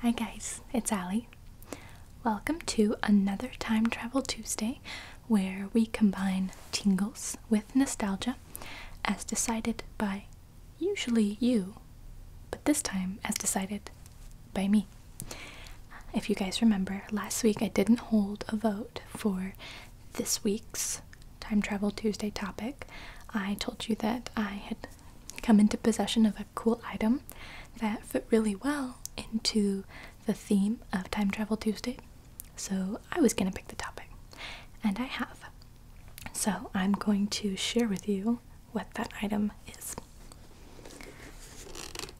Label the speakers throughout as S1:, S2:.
S1: Hi guys, it's Ali. Welcome to another Time Travel Tuesday where we combine tingles with nostalgia as decided by usually you, but this time as decided by me. If you guys remember, last week I didn't hold a vote for this week's Time Travel Tuesday topic. I told you that I had come into possession of a cool item that fit really well into the theme of Time Travel Tuesday. So I was going to pick the topic, and I have. So I'm going to share with you what that item is.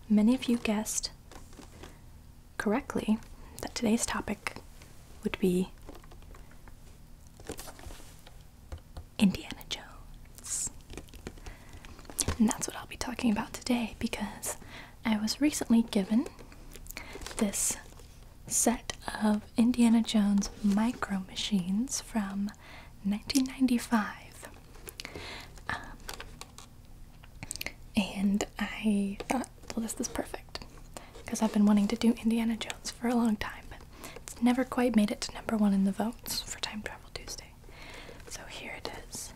S1: Many of you guessed correctly that today's topic would be Indiana Jones. And that's what I'll be talking about today because I was recently given this set of Indiana Jones micro machines from 1995. Um, and I thought, well, this is perfect because I've been wanting to do Indiana Jones for a long time, but it's never quite made it to number one in the votes for Time Travel Tuesday. So here it is,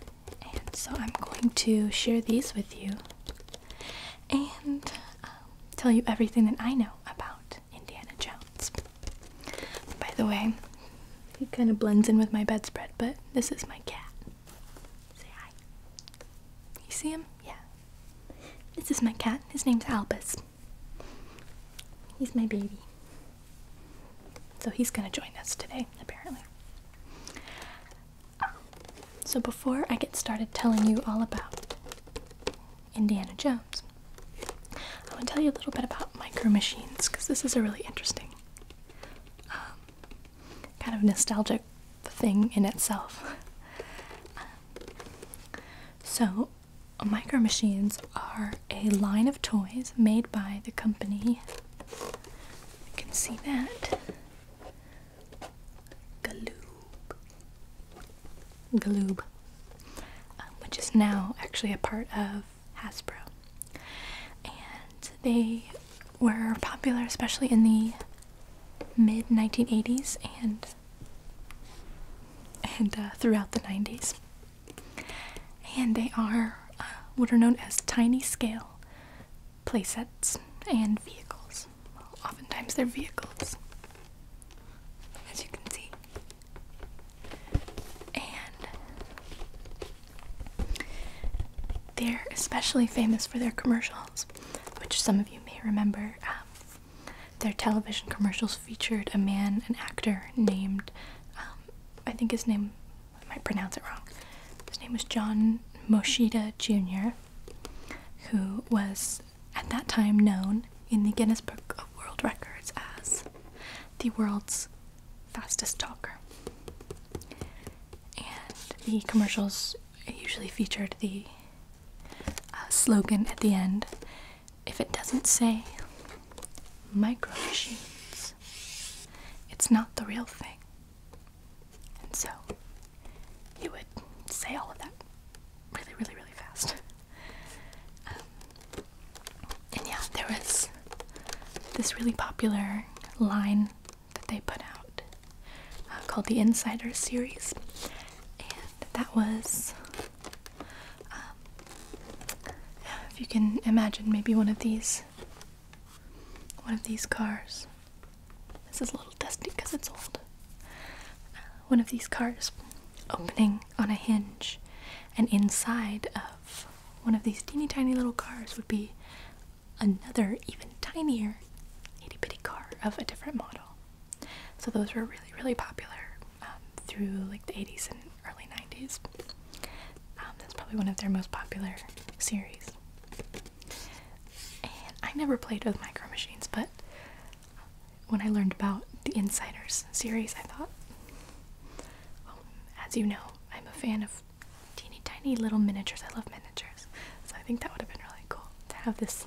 S1: and so I'm going to share these with you and um, tell you everything that I know about Indiana Jones. By the way, he kind of blends in with my bedspread, but this is my cat. Say hi. You see him? Yeah. This is my cat. His name's Albus. He's my baby. So he's gonna join us today, apparently. So before I get started telling you all about Indiana Jones, I want to tell you a little bit about micro machines because this is a really interesting um, kind of nostalgic thing in itself. Um, so, Micro Machines are a line of toys made by the company. You can see that. Galoob. Galoob. Um, which is now actually a part of Hasbro. And they were popular especially in the mid 1980s and and uh, throughout the 90s. And they are uh, what are known as tiny scale playsets and vehicles. oftentimes they're vehicles, as you can see. And they're especially famous for their commercials, which some of you may remember. Um, their television commercials featured a man, an actor named, um, I think his name, I might pronounce it wrong. His name was John Moshida Jr., who was at that time known in the Guinness Book of World Records as the world's fastest talker. And the commercials usually featured the uh, slogan at the end if it doesn't say micro machines, it's not the real thing. And so he would say all of that really, really, really fast. Um, and yeah, there was this really popular line that they put out uh, called the Insider Series, and that was um, if you can imagine maybe one of these one of these cars. This is a little dusty because it's old. Uh, one of these cars opening on a hinge, and inside of one of these teeny tiny little cars would be another, even tinier, itty bitty car of a different model. So those were really, really popular um, through like the 80s and early 90s. Um, that's probably one of their most popular series. I never played with micro machines, but when I learned about the Insiders series, I thought well, as you know, I'm a fan of teeny tiny little miniatures. I love miniatures. So I think that would have been really cool to have this,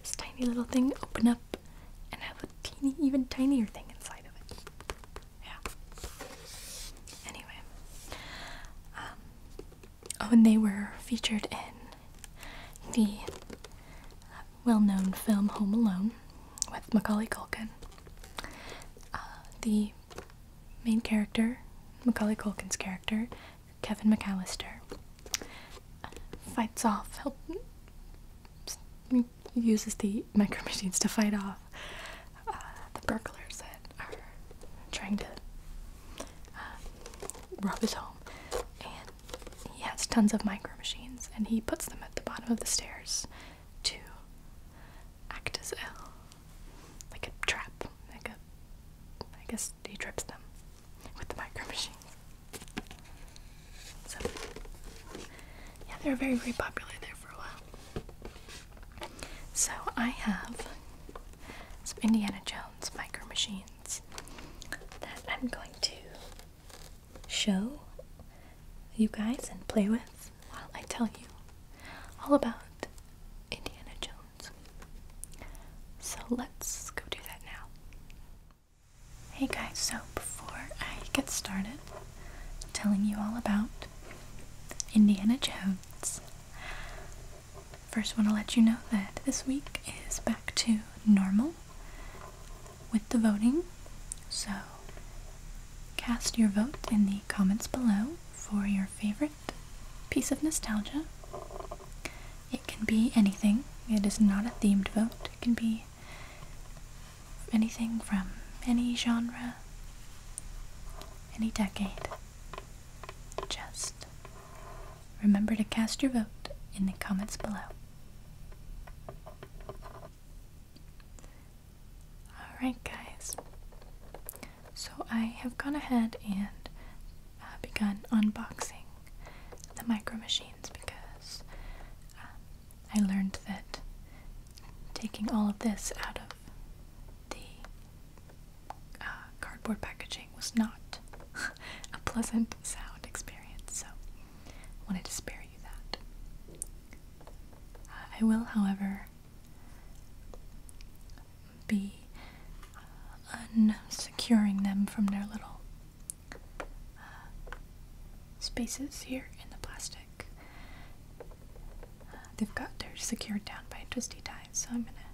S1: this tiny little thing open up and have a teeny, even tinier thing inside of it. Yeah. Anyway. Um, oh, and they were featured in the uh, well known film Home Alone with Macaulay Culkin. Uh, the main character, Macaulay Culkin's character, Kevin McAllister, fights off, uses the micro machines to fight off uh, the burglars that are trying to uh, rob his home. And he has tons of micro machines, and he puts them at the bottom of the stairs to act as ill, like a trap, like a, I guess he trips them with the micro machines. yeah, they were very, very popular there for a while. So I have some Indiana Jones micro machines that I'm going to show you guys and play with while I tell you all about Indiana Jones. So let's go do that now. Hey guys, so before I get started telling you all about Indiana Jones, first want to let you know that this week is back to normal with the voting. So Cast your vote in the comments below for your favorite piece of nostalgia. It can be anything, it is not a themed vote, it can be anything from any genre, any decade. Just remember to cast your vote in the comments below. Alright, guys. So I have gone ahead and uh, begun unboxing the micro machines because um, I learned that taking all of this out of the uh, cardboard packaging was not a pleasant sound experience, so I wanted to spare you that. Uh, I will, however, be unsecuring them from their little uh, spaces here in the plastic. Uh, they've got, they're secured down by twisty ties, so I'm gonna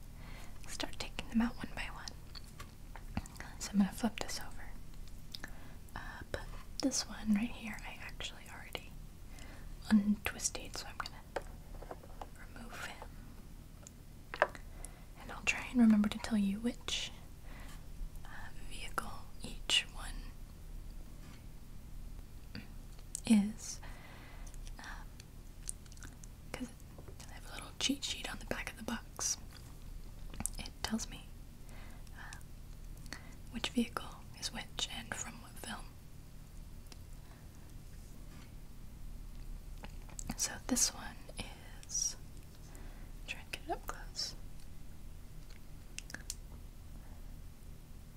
S1: start taking them out one by one. So I'm gonna flip this over. Uh, this one right here, I actually already untwisted, so I'm gonna remove him. And I'll try and remember to tell you which uh, vehicle each one is. Because uh, I have a little cheat sheet on the back of the box. It tells me uh, which vehicle is which and from what film. So this one is i to get up close.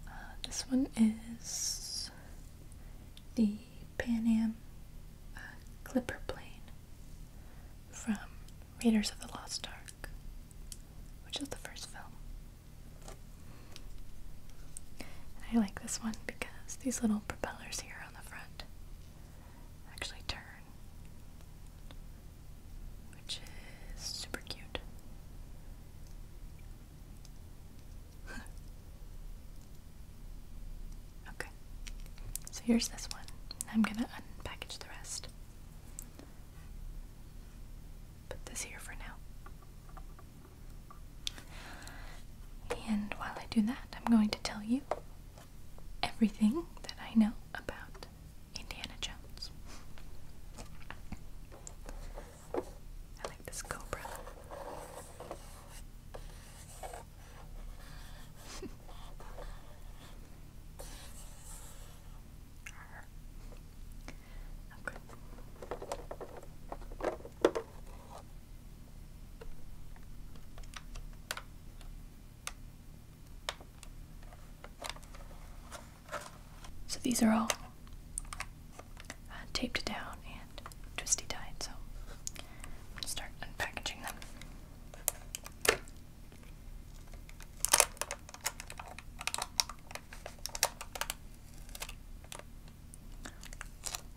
S1: Uh, this one is the Pan Am uh, Clipper plane from Raiders of the Lost Ark, which is the first film. And I like this one because these little propellers here on the front actually turn, which is super cute. okay, so here's this one. I'm gonna unpackage the rest put this here for now. And while I do that, I'm going to tell you everything that I know about Indiana Jones. I like this cobra. So these are all uh, taped down and twisty tied, so start unpackaging them.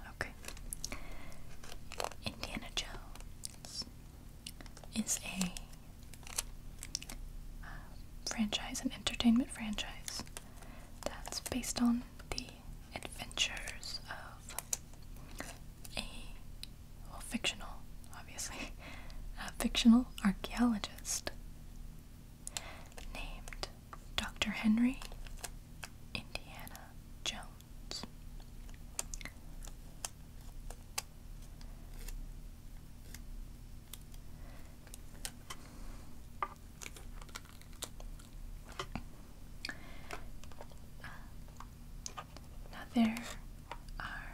S1: Okay. Indiana Jones is a uh, franchise, an entertainment franchise that's based on the adventures of a well, fictional, obviously, a fictional archaeologist named Dr. Henry Indiana Jones. now there are,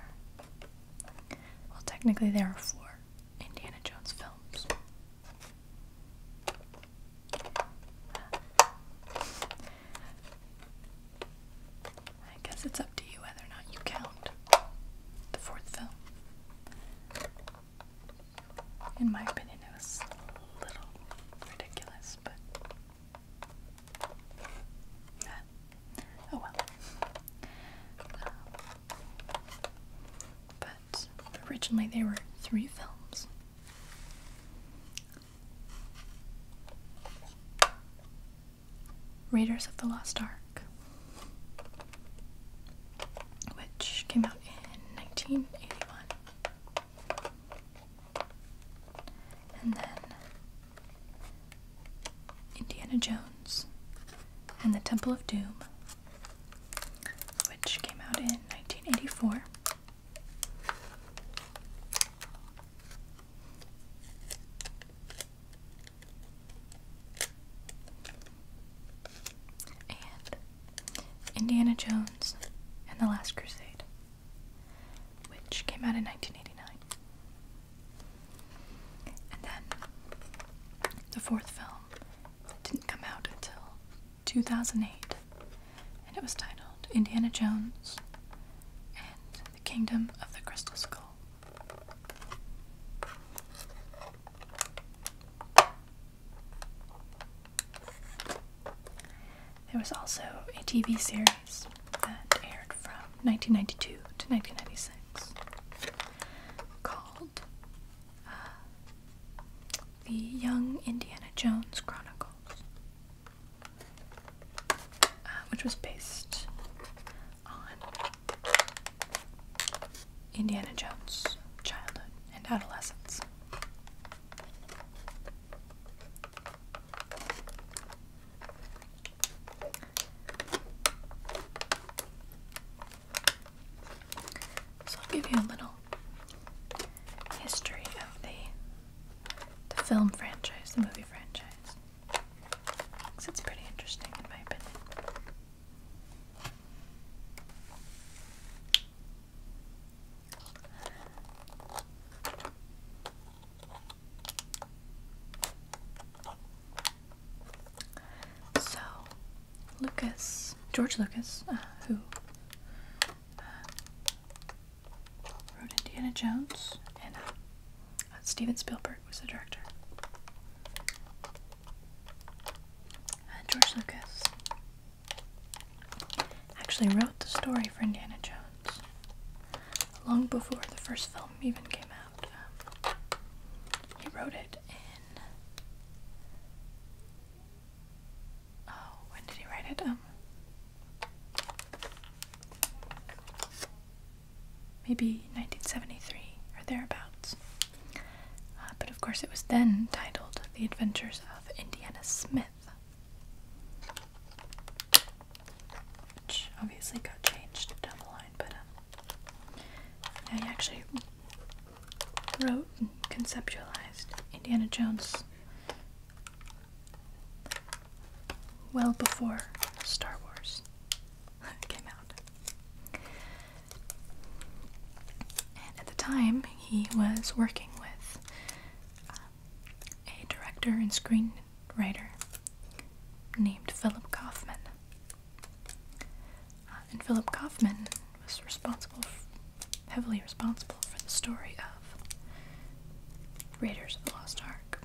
S1: well, technically there are four Indiana Jones films. I guess it's up to you whether or not you count the fourth film. In my opinion, it was a little ridiculous, but. oh well. Um, but originally there were three films. Raiders of the Lost Ark, which came out in 1981. And then Indiana Jones and the Temple of Doom, which came out in 1984. And Indiana Jones and the Last Crusade, which came out in 1989. And then the fourth film didn't come out until 2008, and it was titled Indiana Jones and the Kingdom of the Crystal Skull. There was also a TV series that aired from 1992 to 1996 called uh, The Young Indiana Jones Chronicles, uh, which was based on Indiana Jones' childhood and adolescence. So I'll give you a little history of the the film franchise, the movie franchise. Because it's pretty interesting in my opinion. So, Lucas, George Lucas, uh, who uh, wrote Indiana Jones, and uh, Steven Spielberg was the director. George Lucas actually wrote the story for Indiana Jones long before the first film even came out. Um, he wrote it Oh, when did he write it? Um, maybe 1973 or thereabouts. Uh, but of course, it was then titled The Adventures of Indiana Smith, which obviously got changed down the line, but um, he actually wrote and conceptualized Indiana Jones well before Star Wars came out. And at the time, he was working with um, a director and screenwriter named Philip Kaufman. Uh, and Philip Kaufman was responsible, heavily responsible for the story of Raiders of the Lost Ark.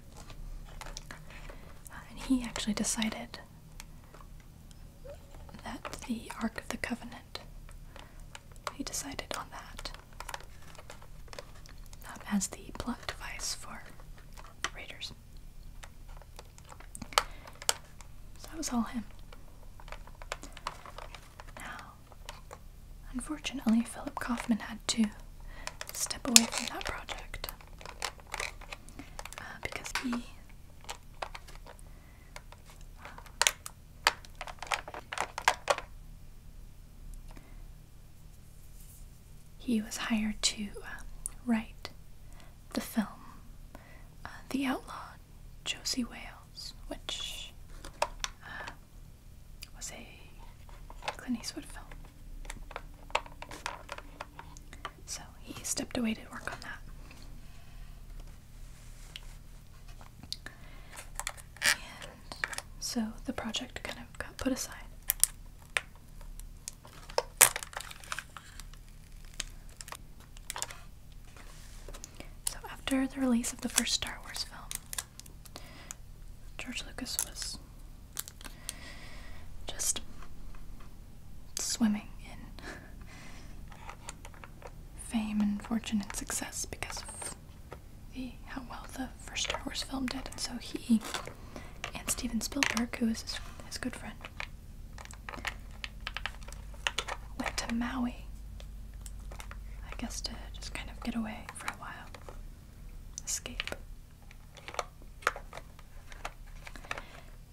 S1: Uh, and he actually decided that the Ark of the Covenant, he decided on that um, as the plot device for Raiders that was all him. Now, unfortunately, Philip Kaufman had to step away from that project uh, because he uh, he was hired to uh, write the film uh, The Outlaw Josie Wales, which uh, was a Clint Eastwood film. So he stepped away to work on that. And so the project kind of got put aside. So, after the release of the first Star Wars film, George Lucas was just swimming in fame and fortune and success because of how well the first Star Wars film did. And so he and Steven Spielberg, who is his good friend, Went to Maui, I guess, to just kind of get away for a while, escape.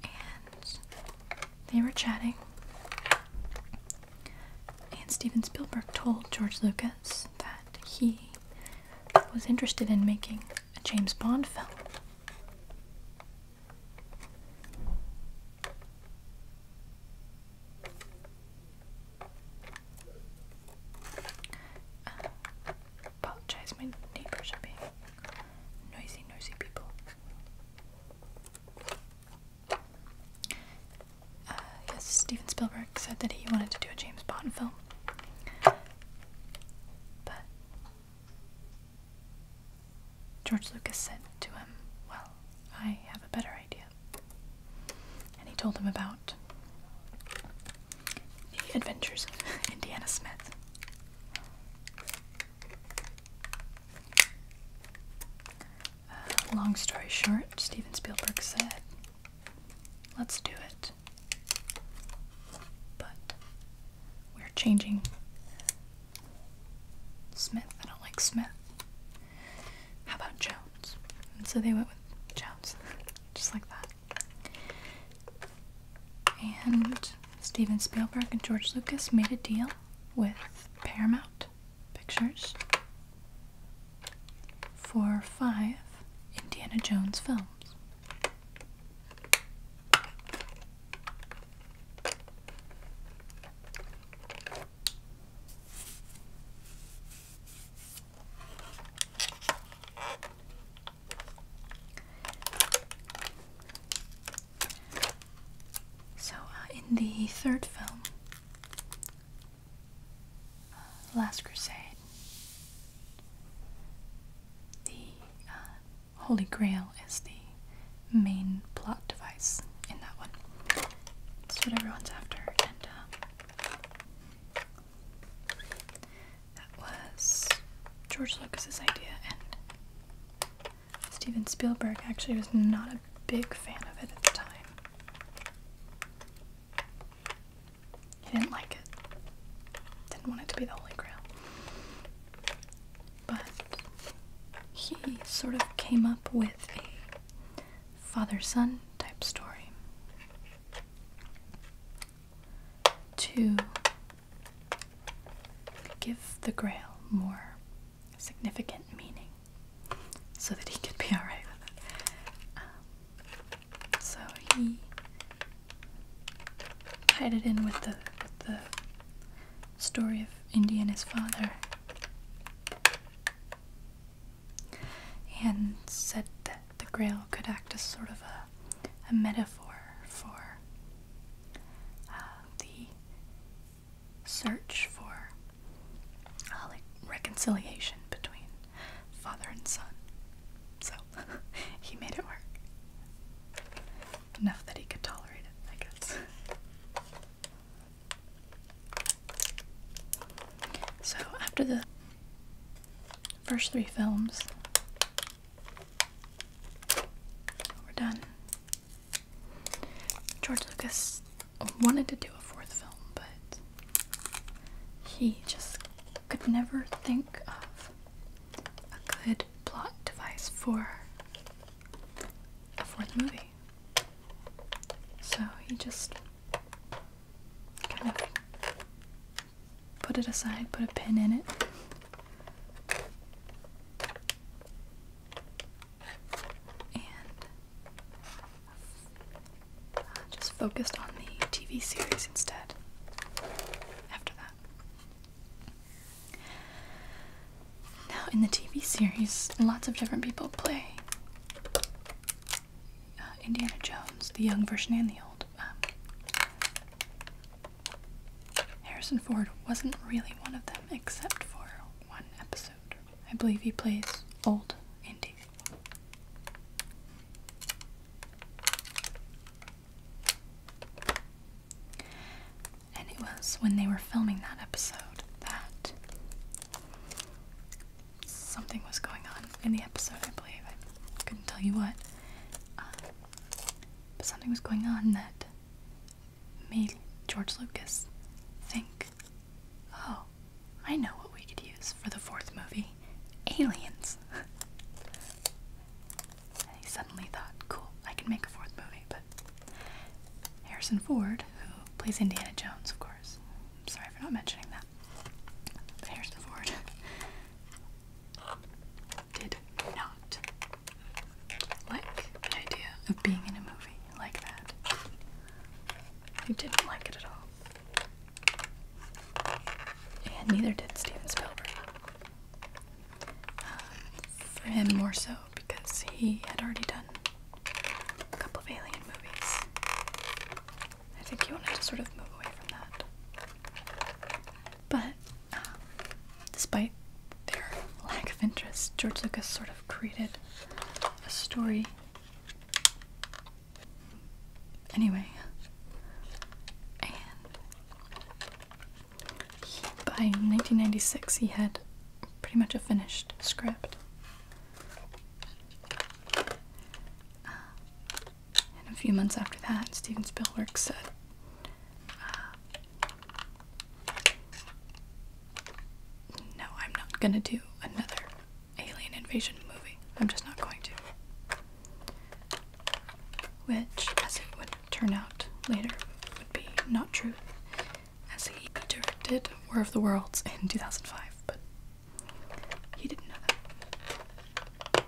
S1: And they were chatting, and Steven Spielberg told George Lucas that he was interested in making a James Bond film apologize, my neighbors are being noisy, noisy people. Uh, yes, Steven Spielberg said that he wanted to do a James Bond film. But George Lucas said to him, Well, I have a better idea. And he told him about the adventures of Indiana Smith. Uh, long story short, Steven Spielberg said, Let's do it. But we're changing Smith. I don't like Smith. How about Jones? And so they went with Jones, just like that. And Steven Spielberg and George Lucas made a deal with Paramount Pictures for five Indiana Jones films. So, uh, in the third film, uh, Last Crusade, the uh, Holy Grail is the main plot device in that one. That's what everyone's after. And uh, that was George Lucas's idea, and Steven Spielberg actually was not a big fan of it at the time. He didn't like it. Didn't want it to be the Holy Grail. But he sort of came up with a father son type story to give the grail more significant meaning so that he could be alright with it. Um, so he tied it in with the the story of Indy and his father and said that the grail could act as sort of a, a metaphor for uh, the search for uh, like reconciliation between father and son so he made it work Enough that he could tolerate it, I guess. So, after the first three films, we're done. George Lucas wanted to do a fourth film, but he just could never think of a good good plot device for a fourth movie. So he just kind of put it aside, put a pin in it. And uh, just focused on the TV series instead after that. Now, in the TV series, lots of different people play uh, Indiana Jones, the young version and the old. Um, Harrison Ford wasn't really one of them, except for one episode. I believe he plays old Indy. And it was when they were filming that episode that something was going on in the episode, I believe. I couldn't tell you what. Uh, but something was going on that made George Lucas think, oh, I know what we could use for the fourth movie aliens. And he suddenly thought, cool, I can make a fourth movie. But Harrison Ford, who plays Indiana Jones, of course. sorry for not mentioning that. But Harrison Ford did not like the idea of being in a movie like that. He didn't like it at all. And neither did Steven Spielberg for him, more so because he had already done a couple of alien movies. I think he wanted to sort of move away from that. But um, despite their lack of interest, George Lucas sort of created a story. Anyway, and by 1996 he had pretty much a finished script. and a few months after that, Steven Spielberg said, uh, No, I'm not gonna do another alien invasion movie. I'm just not going to. Which, as it would turn out later would be Not true, as he directed War of the Worlds in 2005, but he didn't know that.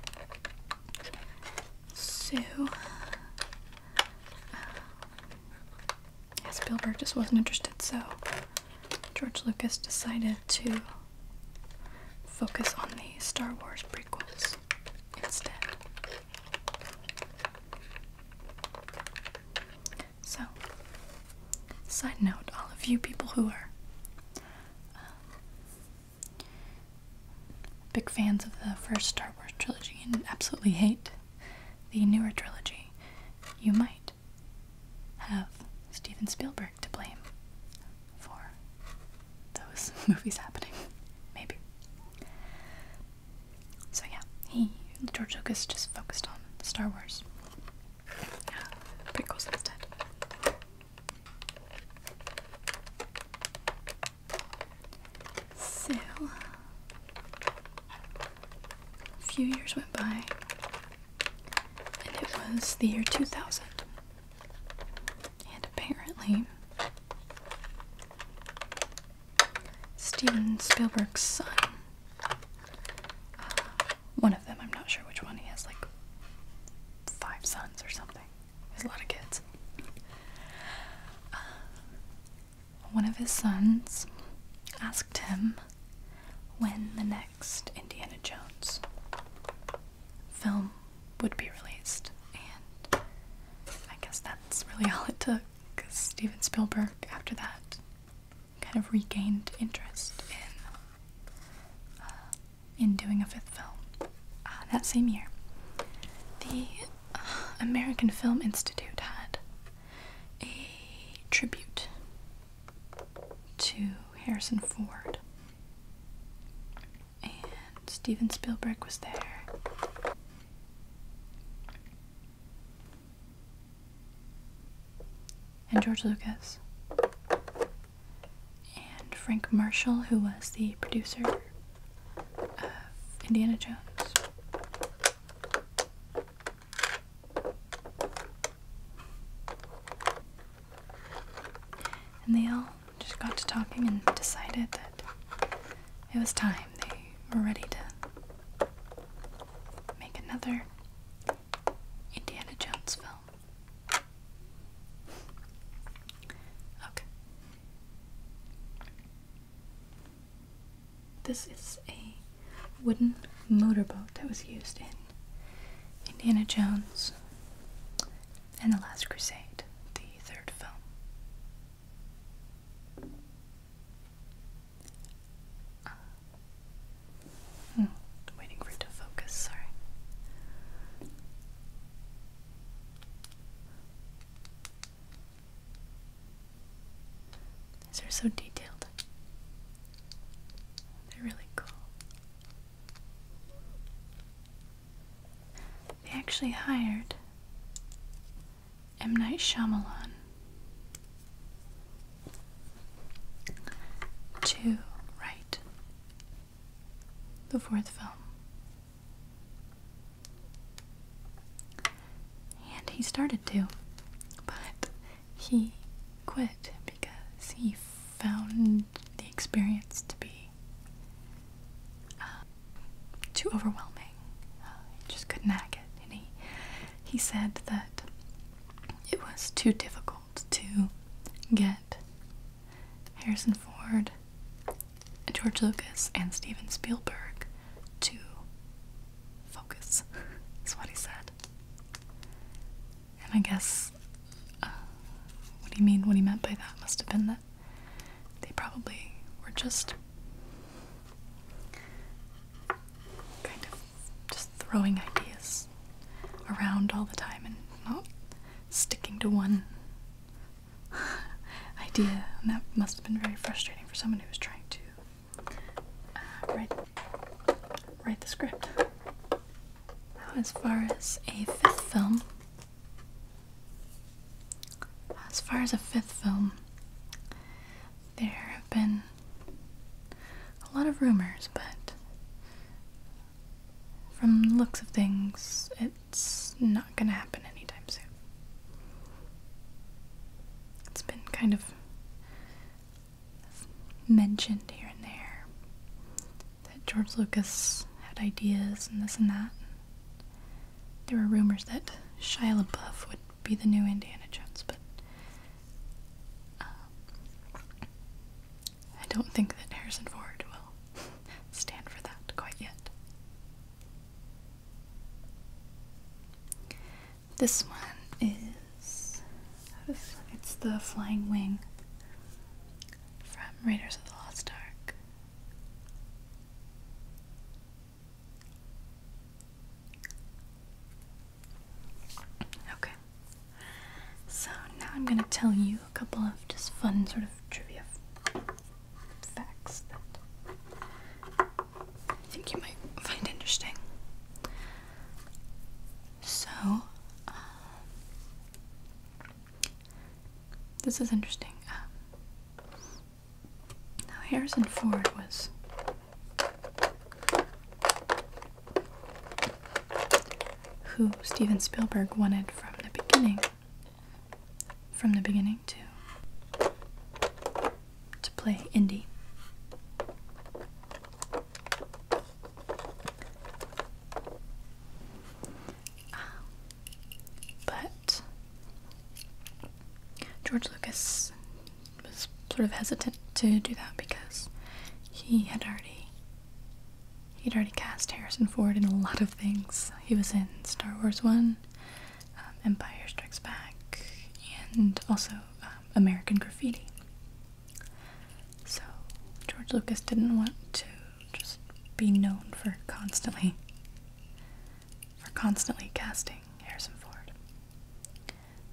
S1: So, uh, yeah, Spielberg just wasn't interested, so George Lucas decided to focus on the Star Wars prequels those instead. So, side note, all of you people who are um, big fans of the first Star Wars trilogy and absolutely hate the newer trilogy, you might have Steven Spielberg to blame for those movies happening. Maybe. So yeah, he George Lucas just focused on Star Wars. Yeah, prequels instead. So a few years went by, and it was the year two thousand. And apparently, Steven Spielberg's son, uh, one of them, I'm not sure which one, he has like five sons or something. He has a lot of kids. Uh, one of his sons asked him when the next Indiana Jones film would be released, and I guess that's really all it took because Steven Spielberg, after that, kind of regained interest in uh, in doing a fifth film uh, that same year. The uh, American Film Institute had a tribute to Harrison Ford and Steven Spielberg was there. And George Lucas. And Frank Marshall, who was the producer of Indiana Jones. And they all just got to talking and decided that it was time. They were ready to make another Indiana Jones film. Okay. This is a wooden motorboat that was used in Indiana Jones and The Last Crusade, the third film. Uh, hmm, waiting for it to focus, sorry. These are so detailed. They're really cool. They actually hired M. Night Shyamalan to write the fourth film. And he started to, but he quit because he found the experience to be uh, too overwhelming. he uh, just couldn't hack it, he he said that it was too difficult to get Harrison Ford, George Lucas, and Steven Spielberg to focus. That's what he said. And I guess uh, what do you mean? What he meant by that must have been that they probably were just kind of just throwing ideas around all the time and not sticking to one idea. And that must have been very frustrating for someone who was trying to uh, write write the script. as far as a fifth film, as far as a fifth film, there have been a lot of rumors, but from the looks of things, it's not gonna happen anytime soon. It's been kind of mentioned here and there, that George Lucas had ideas and this and that. There were rumors that Shia LaBeouf would be the new Indiana Jones, but um, I don't think that Harrison Ford will stand for that quite yet. This one is it's the Flying Wing from Raiders of the Lost Ark. Okay. So now I'm going to tell you a couple of just fun sort of trivia facts that I think you might find interesting. So, um, this is interesting. Um, Harrison Ford was who Steven Spielberg wanted from the beginning. From the beginning to to play Indy. But George Lucas was sort of hesitant to do that because he had already he'd already cast Harrison Ford in a lot of things. He was in Star Wars One, um, Empire Strikes Back, and also um, American Graffiti. So George Lucas didn't want to just be known for constantly for constantly casting Harrison Ford.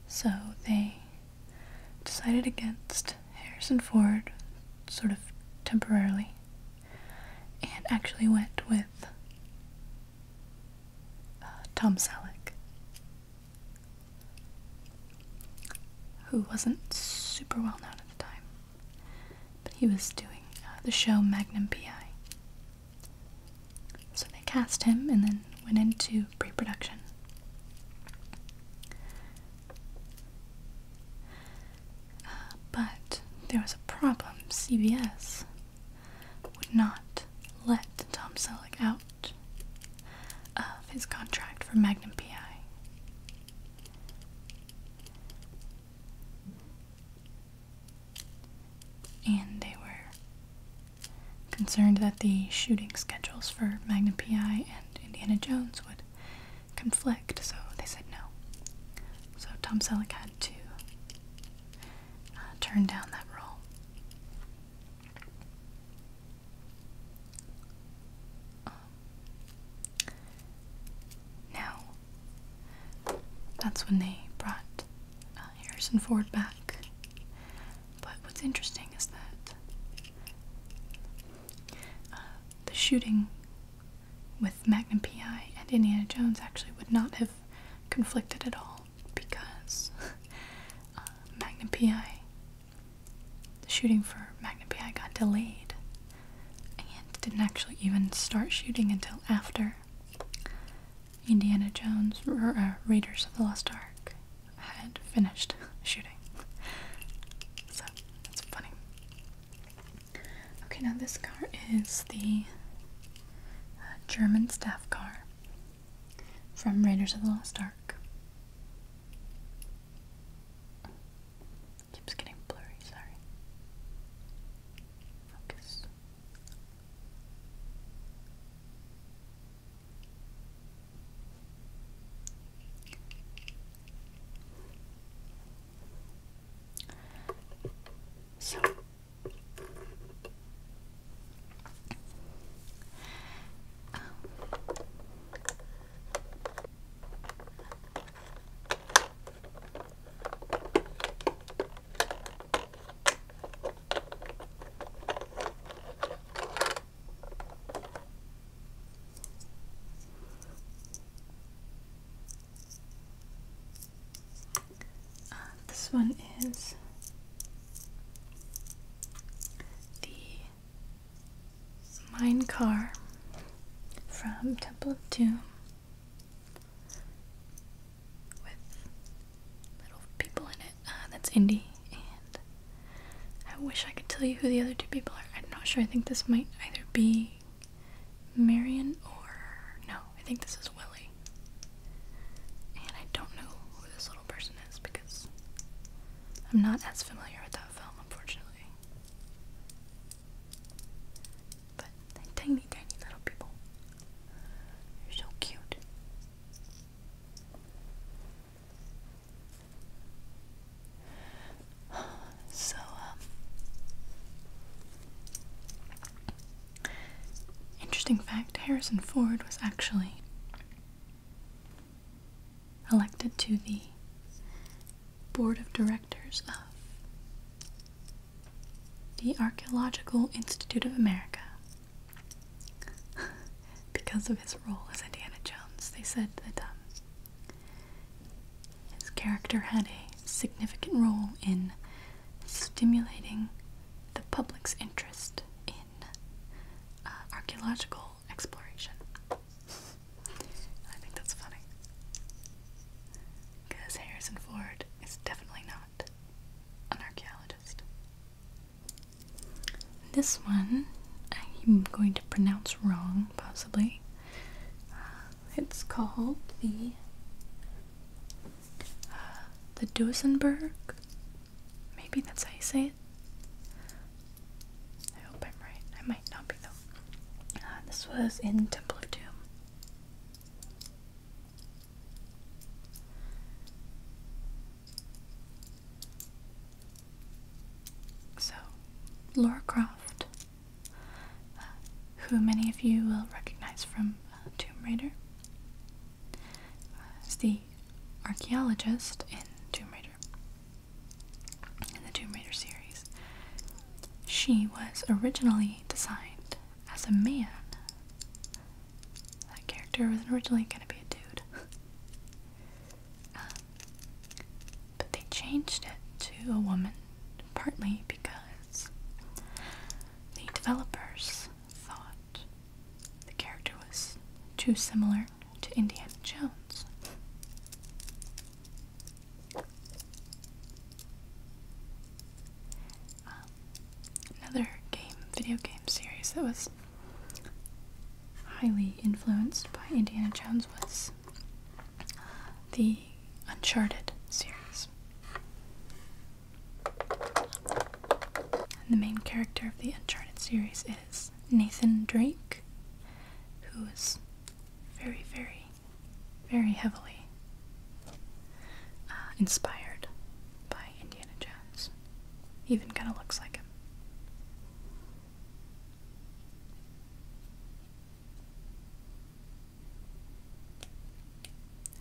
S1: So they decided against Harrison Ford sort of temporarily and actually went with uh, Tom Selleck, who wasn't super well known at the time. But he was doing uh, the show Magnum PI. So they cast him and then went into pre production. Uh, but there was a problem. CBS would not let Tom Selleck out of his contract for Magnum PI. And they were concerned that the shooting schedules for Magnum PI and Indiana Jones would conflict, so they said no. So Tom Selleck had to uh, turn down that role. Um, now, that's when they brought uh, Harrison Ford back. But what's interesting is that uh, the shooting with Magnum PI and Indiana Jones actually would not have conflicted at all because uh, Magnum PI, the shooting for Magnum PI got delayed and didn't actually even start shooting until after Indiana Jones or uh, Raiders of the Lost Ark had finished shooting. So that's funny. Okay, now this car is the uh, German staff car from Raiders of the Lost Ark. Keeps getting blurry, sorry. Focus. So um, uh, this one is the Mine Car from Temple of Doom with little people in it. Uh, that's Indy, and I wish I could tell you who the other two people are. I'm not sure. I think this might either be Marion or no. I think this is Willie, and I don't know who this little person is because I'm not as familiar with that film, unfortunately. But tiny, tiny little people. They're so cute. So, um, interesting fact Harrison Ford was actually elected to the board of directors of the Archaeological Institute of America. because of his role as Indiana Jones, they said that um, his character had a significant role in stimulating the public's interest in uh, archaeological exploration. I think that's funny. Because Harrison Ford is definitely not an archaeologist. This one I'm going to pronounce wrong, possibly. Uh, it's called the uh, the Duesenberg. Maybe that's how you say it. I hope I'm right. I might not be though. Uh, this was in Temple of Doom. So, Laura Croft, uh, who many of you will recognize from uh, Tomb Raider, is the archaeologist in Tomb Raider, in the Tomb Raider series. She was originally designed as a man. That character was originally going to be a dude. Um, but they changed it to a woman partly because the developers thought the character was too similar to Indiana Jones. Um, another game, video game series that was highly influenced by Indiana Jones was the Uncharted series. the main character of the Uncharted series is Nathan Drake, who is very, very very heavily uh, inspired by Indiana Jones. Even kind of looks like him.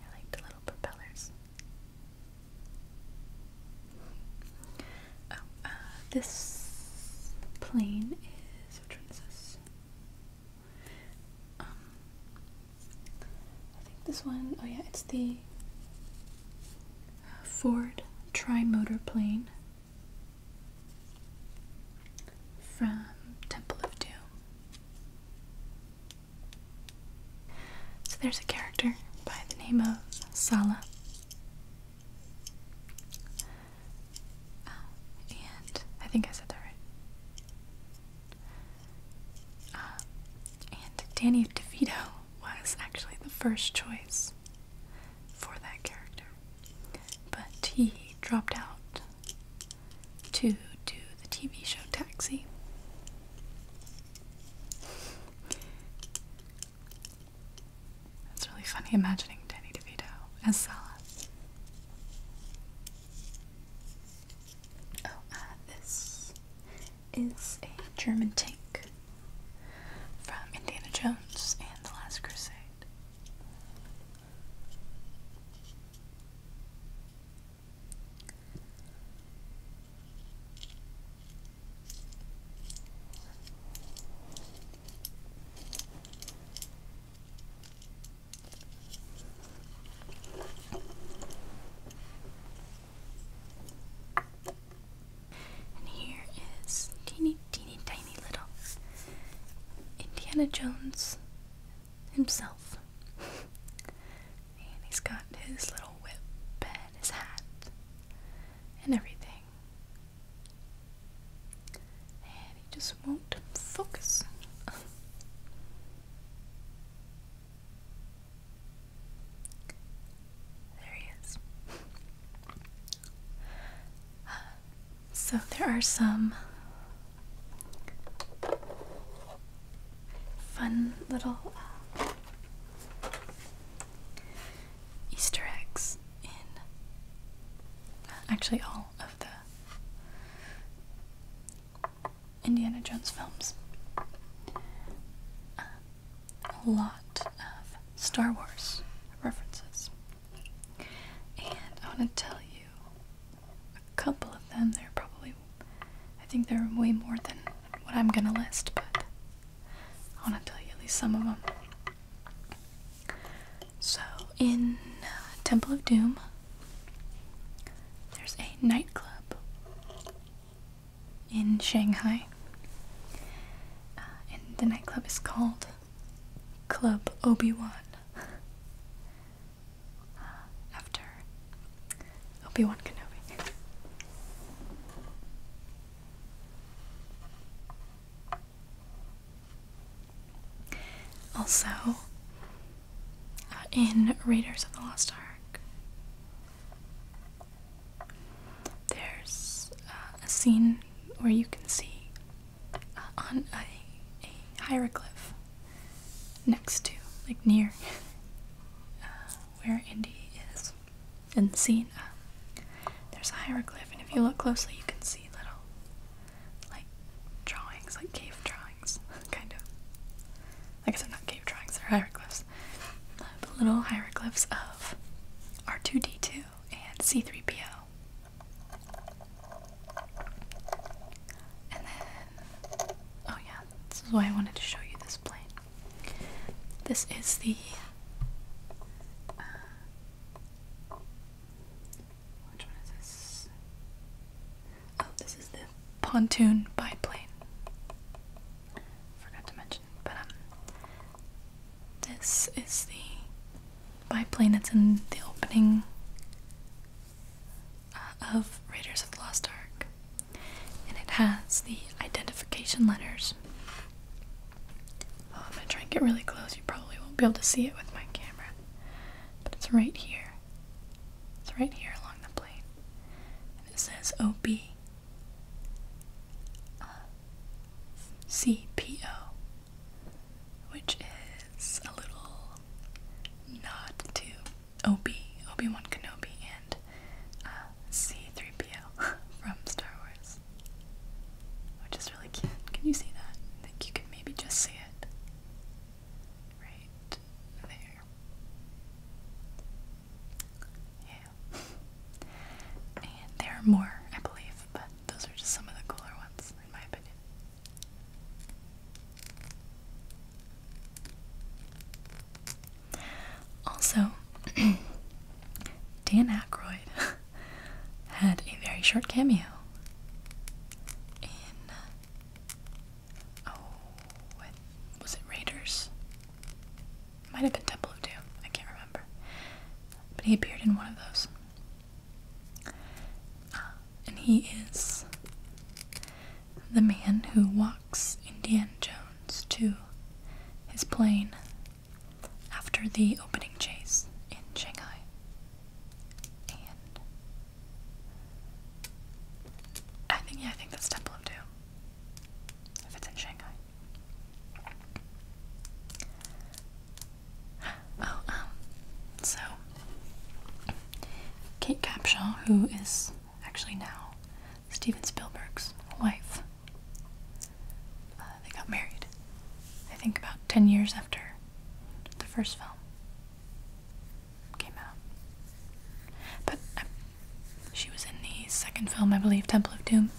S1: I like the little propellers. Oh, uh, this plane is. Which one this? Um, I think this one, oh yeah, it's the Ford Trimotor plane from Temple of Doom. So there's a character by the name of Sala. Oh, and I think I said that right. Uh, and Danny DeVito was actually the first choice for that character, but he dropped out to do the TV show Taxi. That's really funny imagining Danny DeVito as Sala. Oh, uh, this is a German tank from Indiana Jones and the Last Crusade. And here is teeny, teeny, tiny little Indiana Jones himself. and he's got his little whip and his hat and everything. And he just won't focus. there he is. so there are some fun little uh, Easter eggs in uh, actually all of the Indiana Jones films. Uh, a lot of Star Wars references. And I want to tell you a couple of them. There probably, I think there are way more than what I'm going to list, but I want to tell you at least some of them. So, in uh, Temple of Doom, there's a nightclub in Shanghai. Uh, and the nightclub is called Club Obi Wan. Uh, after Obi Wan Kenobi. Also, uh, in Raiders of the Lost Ark, there's uh, a scene where you can see uh, on a, hieroglyph next to, like near where Indy is and the there's a hieroglyph, and if you look closely, you can see little like drawings, like cave drawings, kind of. I guess they're not cave drawings, they're hieroglyphs. Uh, the little hieroglyphs of R2D2 and C3PO. And then, oh yeah, this is why I wanted to show you this plane. This is the uh, which one is this? Oh, this is the pontoon biplane. Forgot to mention, but um, this is the biplane that's in the opening uh, of Raiders of the Lost Ark, and it has the identification letters. Oh, if I try and get really close, you probably won't be able to see it with my camera but it's right here. It's right here along the plane. And it says OB uh, CPO, which is a little nod to OB, Obi Wan Kenobi, and uh, C3PO from Star Wars, which is really cute. Can you see that? I think you can maybe just see it right there. Yeah. And there are more, I believe, but those are just some of the cooler ones, in my opinion. Also, Dan Aykroyd had a very short cameo in. Uh, oh, what was it? Raiders? Might have been Temple of Doom. I can't remember. But he appeared in one of those. Uh, and he is the man who walks Indiana Jones to his plane after the opening chase in Shanghai. I think yeah, I think that's Temple of Doom. If it's in Shanghai. Oh, um, so Kate Capshaw, who is actually now Steven Spielberg's wife, uh, they got married. I think about ten years after the first film came out. But um, she was in the second film, I believe, Temple of Doom.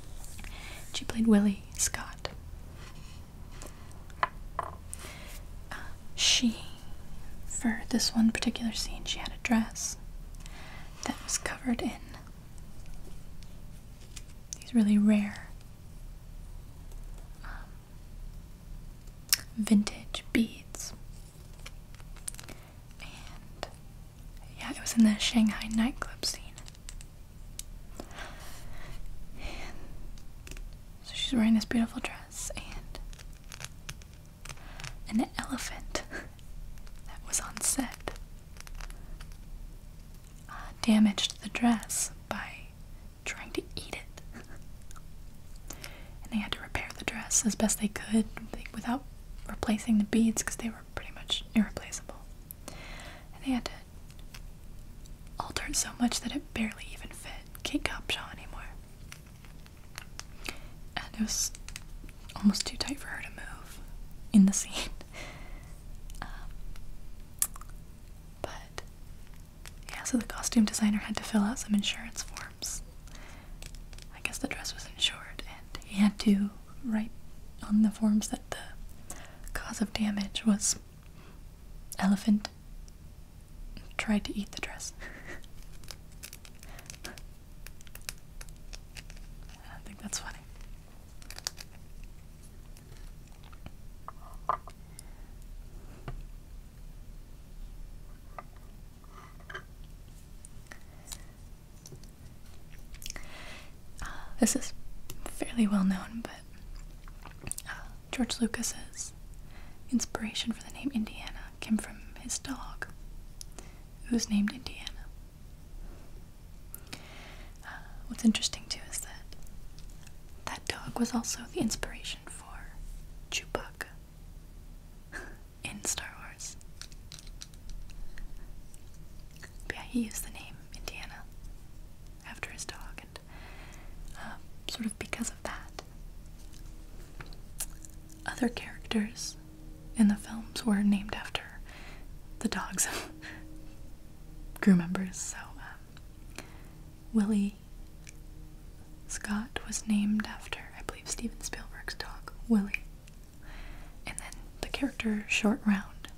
S1: she played Willie Scott. Uh, she, for this one particular scene, she had a dress that was covered in these really rare um, vintage beads. And yeah, it was in the Shanghai nightclub scene. so she's wearing this beautiful dress and an elephant that was on set uh, damaged the dress by trying to eat it. and they had to repair the dress as best they could without replacing the beads because they were pretty much irreplaceable. And they had to alter it so much that it barely even fit Kate Copshaw anymore. And it was almost too tight for her to move in the scene. Um, but yeah, so the costume designer had to fill out some insurance forms. I guess the dress was insured, and he had to write on the forms that the cause of damage was elephant tried to eat the dress. I think that's funny. Uh, this is fairly well known, but uh, George Lucas's inspiration for the name Indiana came from his dog, who was named Indiana. Uh, what's interesting too is that that dog was also the inspiration for Chewbacca in Star Wars. yeah, he used the name Indiana after his dog, and uh, sort of because of that, other characters in the films were named after the dogs of crew members. So um, Willie Scott was named after, I believe, Steven Spielberg's dog, Willie. And then the character Short Round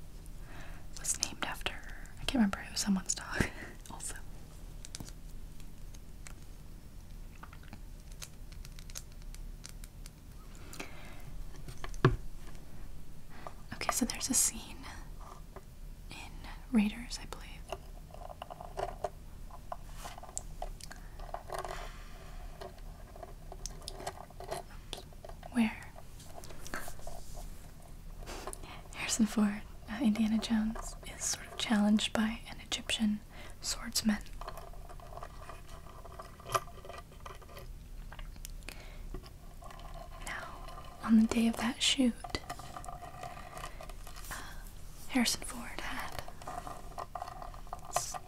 S1: was named after, I can't remember, it was someone's dog also. Okay, so there's a scene in Raiders, I believe. Where? Harrison Ford, uh, Indiana Jones, is sort of challenged by an Egyptian swordsman. Now, on the day of that shoot, uh, Harrison Ford had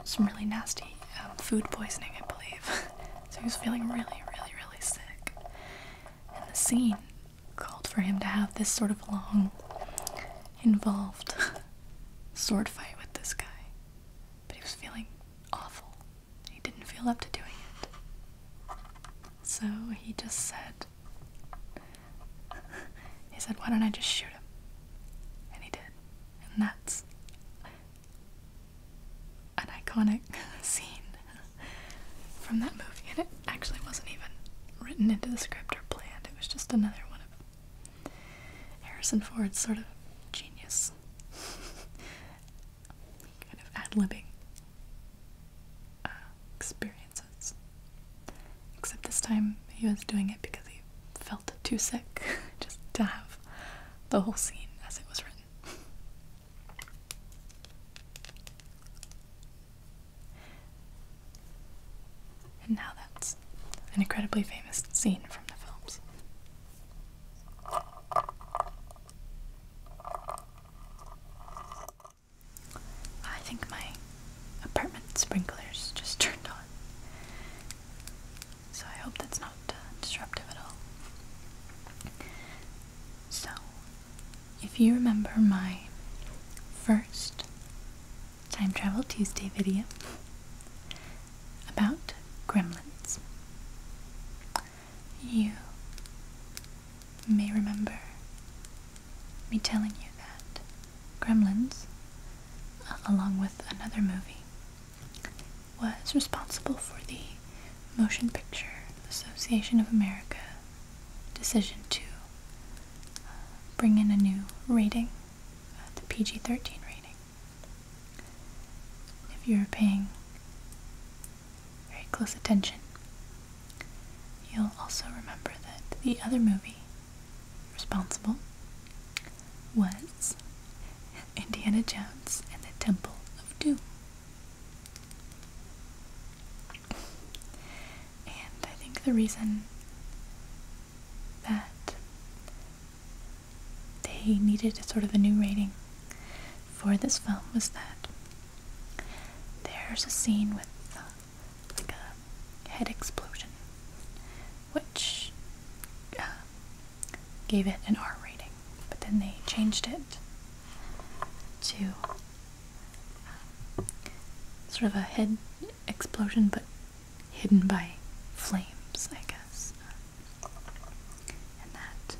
S1: some really nasty um, food poisoning, I believe. so he was feeling really, really, really sick. And the scene called for him to have this sort of long, involved sword fight with this guy. But he was feeling awful he didn't feel up to doing it. So he just said, he said, why don't I just shoot him? And he did. And that's an iconic scene from that movie. And it actually wasn't even written into the script or planned, it was just another one of Harrison Ford's sort of genius kind of ad-libbing uh, experiences. Except this time he was doing it because he felt too sick just to have the whole scene as it was written. And now that's an incredibly famous scene from the films. I think my apartment sprinklers just turned on. So I hope that's not uh, disruptive at all. So, if you remember my first Time Travel Tuesday video about gremlins, you may remember me telling you that Gremlins, uh, along with another movie, was responsible for the Motion Picture Association of America decision to uh, bring in a new rating, uh, the PG 13 rating. If you're paying very close attention. You'll also remember that the other movie responsible was Indiana Jones and the Temple of Doom. And I think the reason that they needed a sort of a new rating for this film was that there's a scene with uh, a head explosion, which uh, gave it an R rating, but then they changed it to uh, sort of a head explosion, but hidden by flames, I guess and that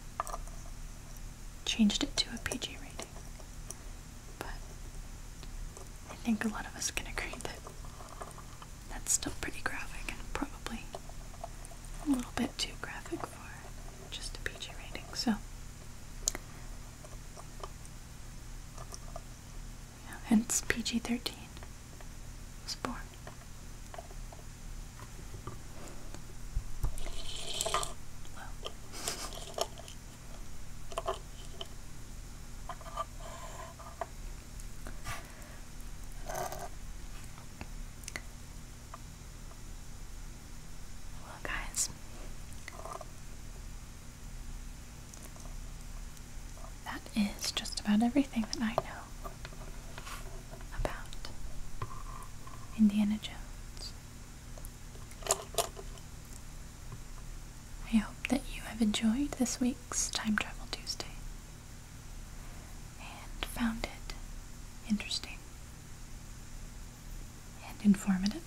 S1: changed it to a PG rating. But I think a lot of us can agree that that's still pretty graphic and probably a little bit too graphic for just a PG rating. So hence PG-13 was born. Well, guys, that is just about everything that I know about Indiana Jones. I hope that you have enjoyed this week's Time Travel Tuesday and found it interesting and informative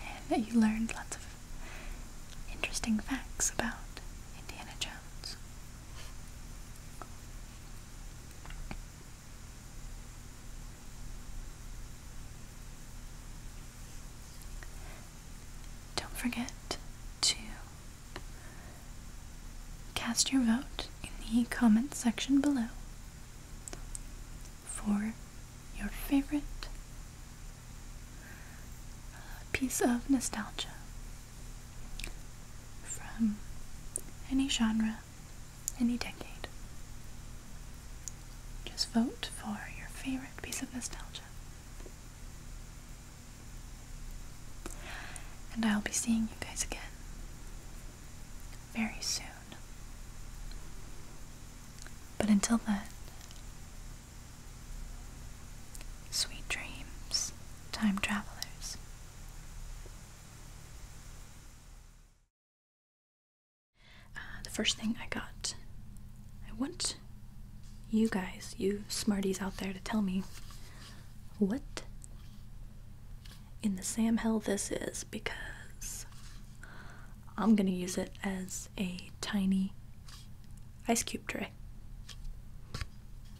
S1: and that you learned lots of interesting facts about Indiana Jones. Don't forget to cast your vote in the comment section below for your favorite uh, piece of nostalgia from any genre, any decade. Just vote for your favorite piece of nostalgia. And I'll be seeing you guys again very soon. But until then, sweet dreams, time travelers. Uh, the first thing I got, I want you guys, you smarties out there, to tell me what in the Sam Hell this is because I'm gonna use it as a tiny ice cube tray.